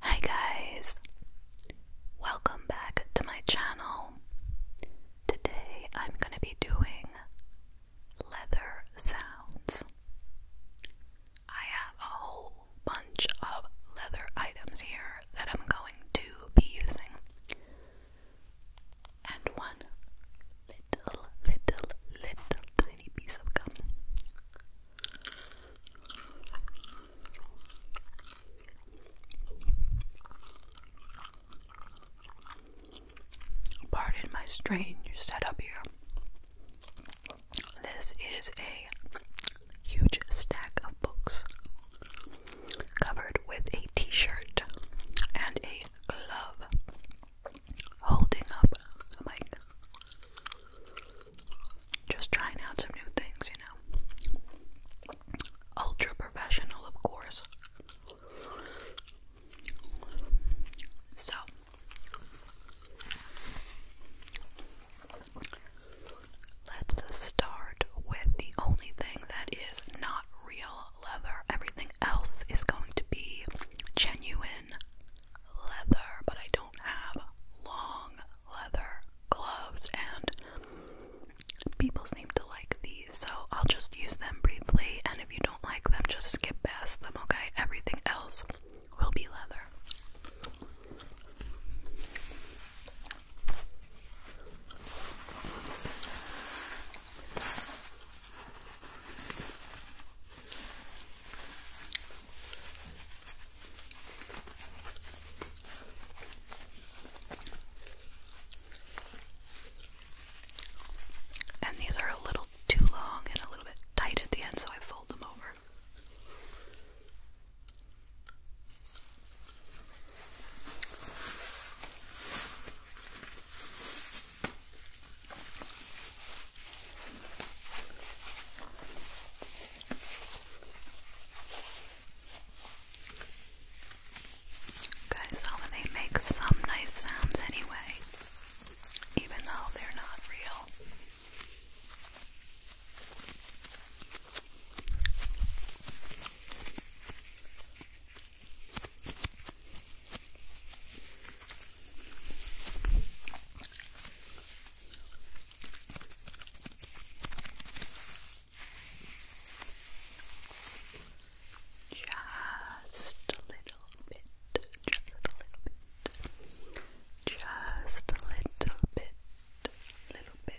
Hi guys, welcome back to my channel. Today I'm going to be doing leather sounds. I have a whole bunch of leather items here that I'm going to be using. And one little, little, little tiny piece of gum. Pardon my strange setup here. This is a huge stack of books covered with a t shirt and a glove holding up the mic just trying out some new things, you know. Ultra professional, of course. So, let's start with the only thing that is not real leather. Everything else is going to be genuine leather, but I don't have long leather gloves, and people seem to like these, so I'll just use them briefly. And if you don't like them, just skip past them, okay? Everything else will be leather. And these are a little too long and a little bit tight at the end, so I fold them over. Guys, how they make some nice sounds anyway, even though they're not real. Just a little bit, just a little bit, just a little bit, little bit.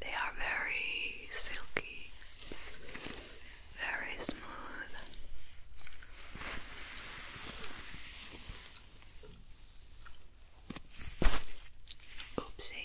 They are very silky, very smooth. Oopsie.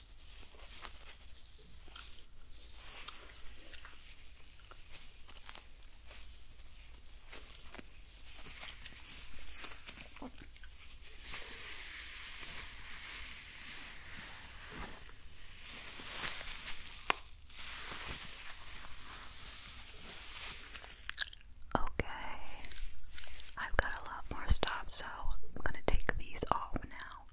Okay, I've got a lot more stuff, so I'm going to take these off now.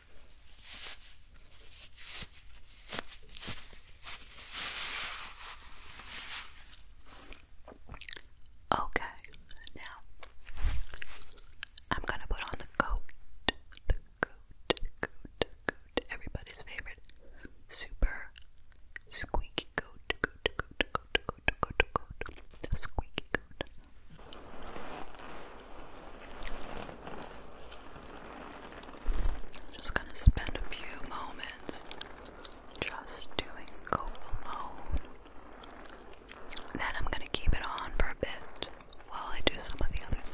Okay, now I'm gonna put on the coat, the coat, the coat, coat, everybody's favorite super squeaky coat, squeaky coat. I'm Just gonna spend a few moments just doing go alone. then I'm gonna keep it on for a bit while I do some of the others.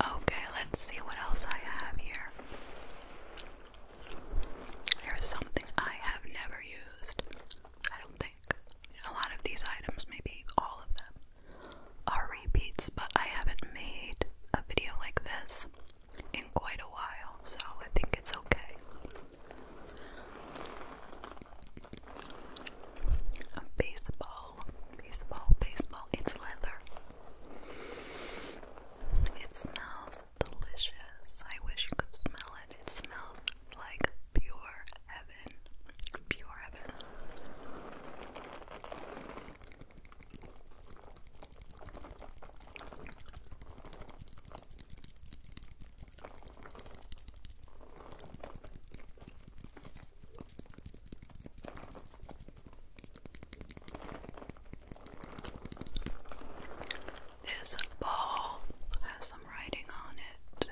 Okay, let's see what else I have here. Here's something I have never used. I don't think. A lot of these items, maybe all of them, are repeats, but I haven't made a video like this in quite a while, so I think it's okay. baseball, baseball, baseball. It's leather. It smells delicious. I wish you could smell it. It smells like pure heaven. Pure heaven. This ball has some writing on it.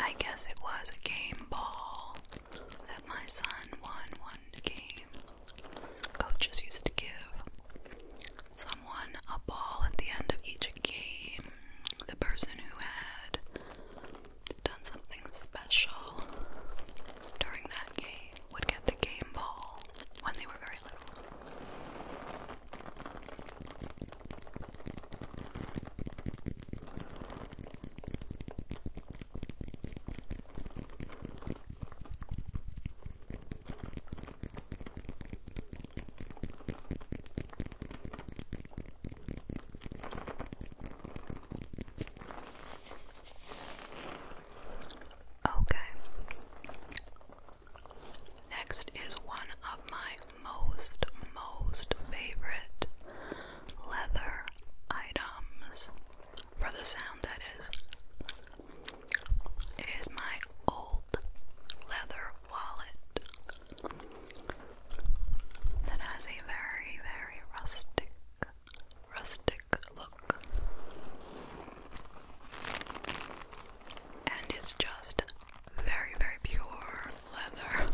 I guess it was a game ball that my son won one game. Coaches used to give someone a ball at the end of each game. The person who had done something special during that game would get the game ball when they were very little. Okay. Next is one of my most, most favorite leather items for the sound that is. It is my old leather wallet that has a very, very rustic, rustic look. And it's just very, very pure leather.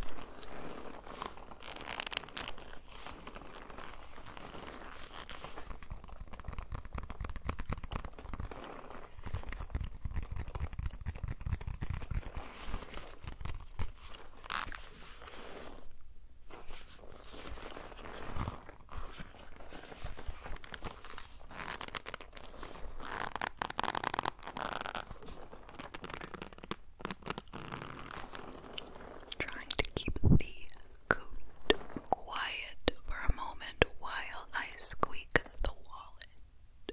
Trying to keep the coat quiet for a moment while I squeak the wallet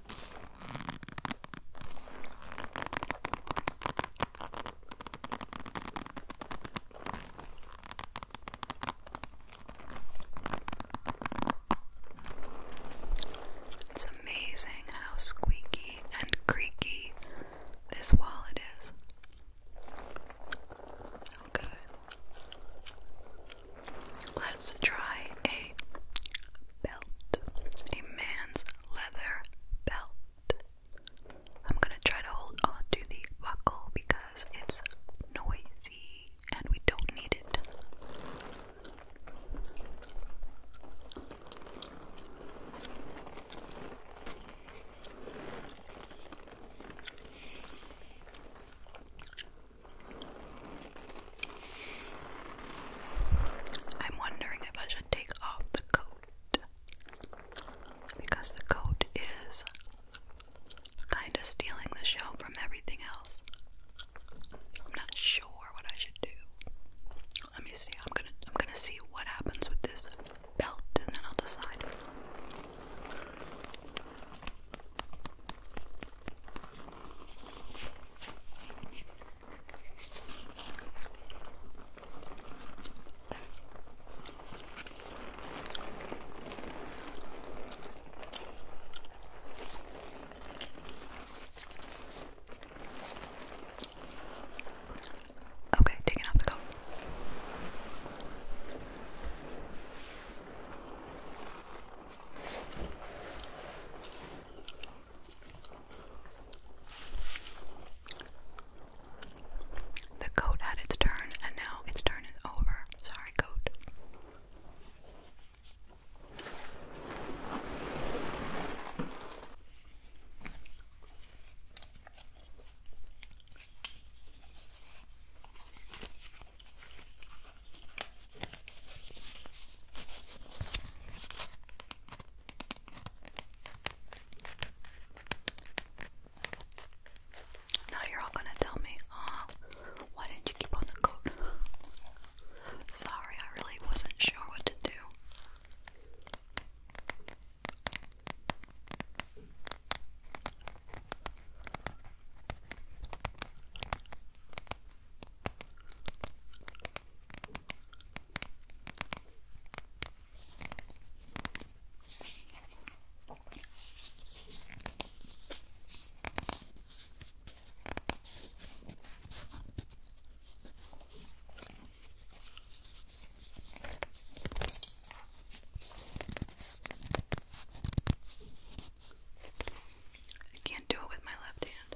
It's amazing how squeaky and creaky this wallet is. Okay. Let's try a a belt, a man's leather belt. I'm gonna try to hold on to the buckle because it's noisy and we don't need it. I'm wondering if I should take off the coat because the coat is kind of stealing the show from everything else. I'm not sure what I should do. Let me see. I'm gonna I'm gonna see what happens with this belt and then I'll decide. Okay, taking off the cup. The coat had its turn, and now its turn is over. Sorry, coat. Now you're all gonna tell me, oh, why didn't you keep on the coat? Sorry, I really wasn't sure what to do. I can't do it with my left hand.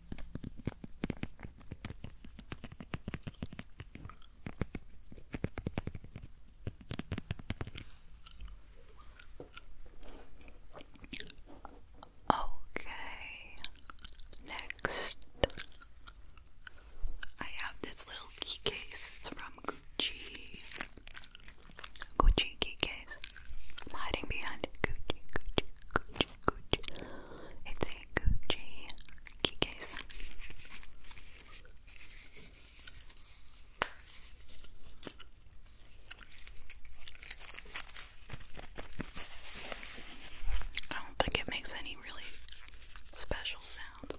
Okay, next I have this little key case. It's from Gucci. Gucci key case. hiding behind Gucci, Gucci, Gucci. Gucci, Gucci. It's a Gucci key I don't think it makes any really special sounds though.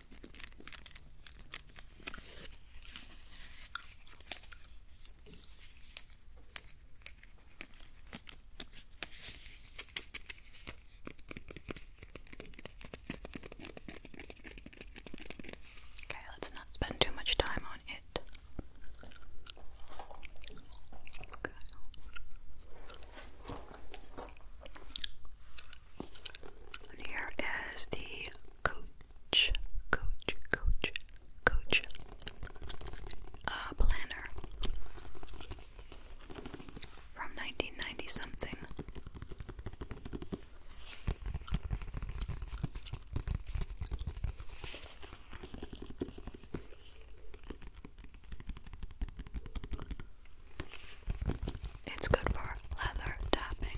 Okay, let's not spend too much time on it. here is the coach, coach, coach, coach, uh, planner from 1990 something. It's good for leather tapping.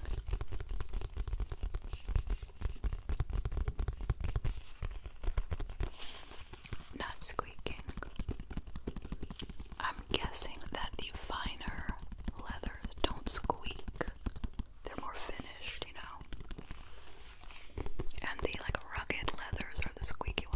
Not squeaking. I'm guessing that the finer leathers don't squeak. They're more finished, you know. And the like rugged leathers are the squeaky ones.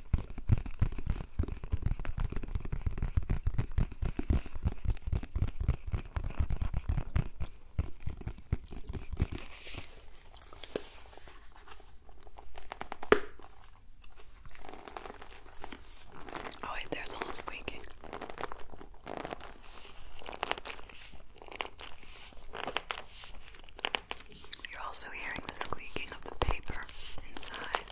Oh, wait, there's a little squeaking. You're also hearing the squeaking of the paper inside.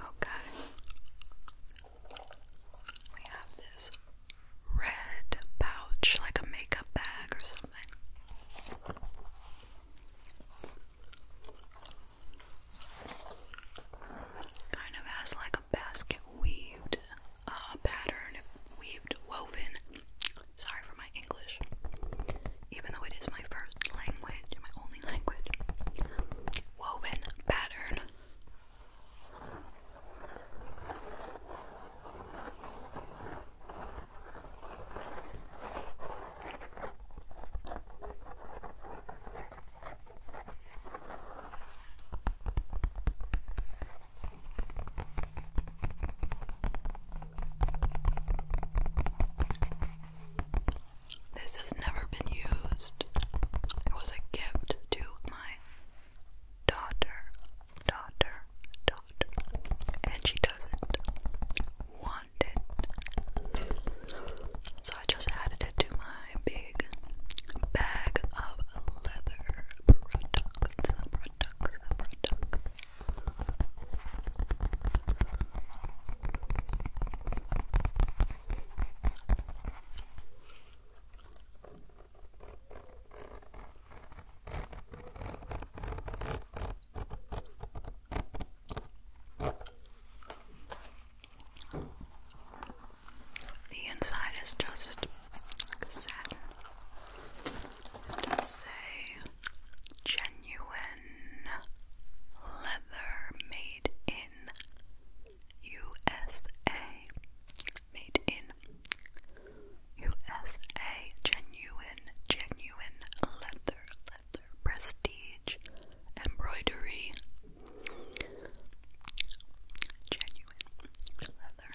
Okay. We have this red pouch, like a makeup bag or something. Kind of has like a basket weaved uh, pattern, weaved, woven Sorry for my English. Even though it is my first language, my only language. Woven pattern. This has never been used. It was a gift to my daughter, daughter, daughter, and she doesn't want it. So I just added it to my big bag of leather products, products, products. The inside is just satin say genuine leather made in USA. Made in USA. Genuine, genuine leather, leather, prestige, embroidery. Genuine leather.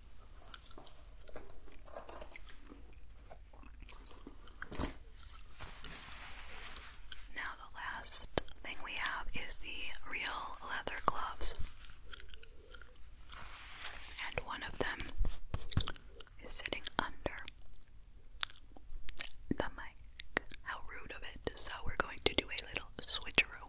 Now, the last thing we have is the real leather gloves, and one of them is sitting under the mic. How rude of it! So, we're going to do a little switcheroo.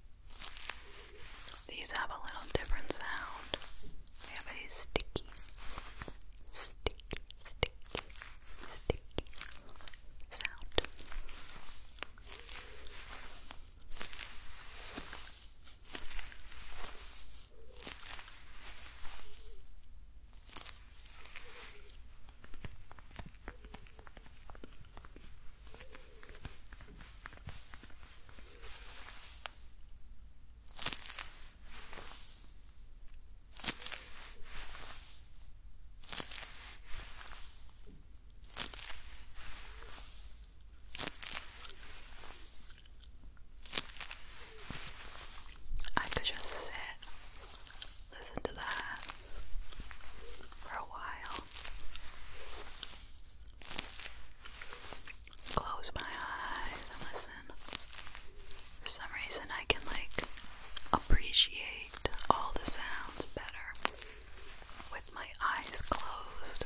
These have a little different sound. They have a sticky, sticky, sticky, sticky sound. I could just sit, listen to that for a while close my eyes and listen. For some reason, I can like appreciate all the sounds better with my eyes closed.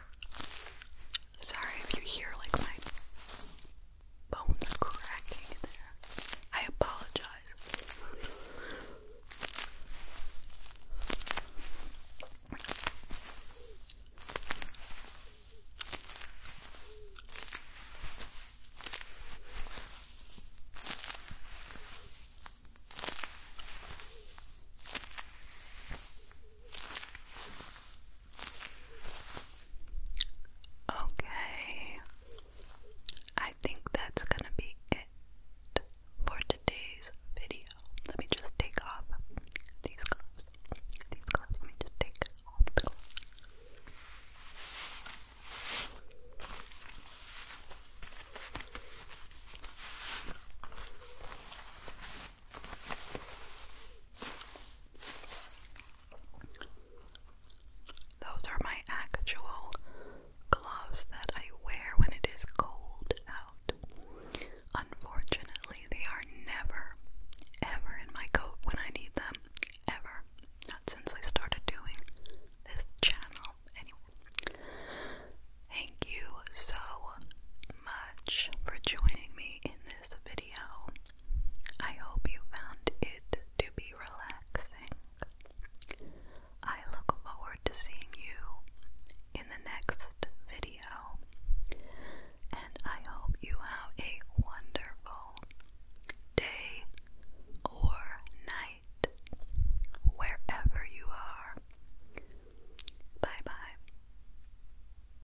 Sorry if you hear like my bones cracking there. I apologize. Okay, I think that's gonna be it for today's video. Let me just take off these gloves. These gloves, let me just take off the those are my actual gloves that I wear when it is cold out. Unfortunately, they are never, ever in my coat when I need them. Ever. Not since I started doing this channel. Anyway, thank you so much for joining me in this video. I hope you found it to be relaxing. I look forward to seeing you in the next video, and I hope you have a wonderful day or night wherever you are. Bye bye.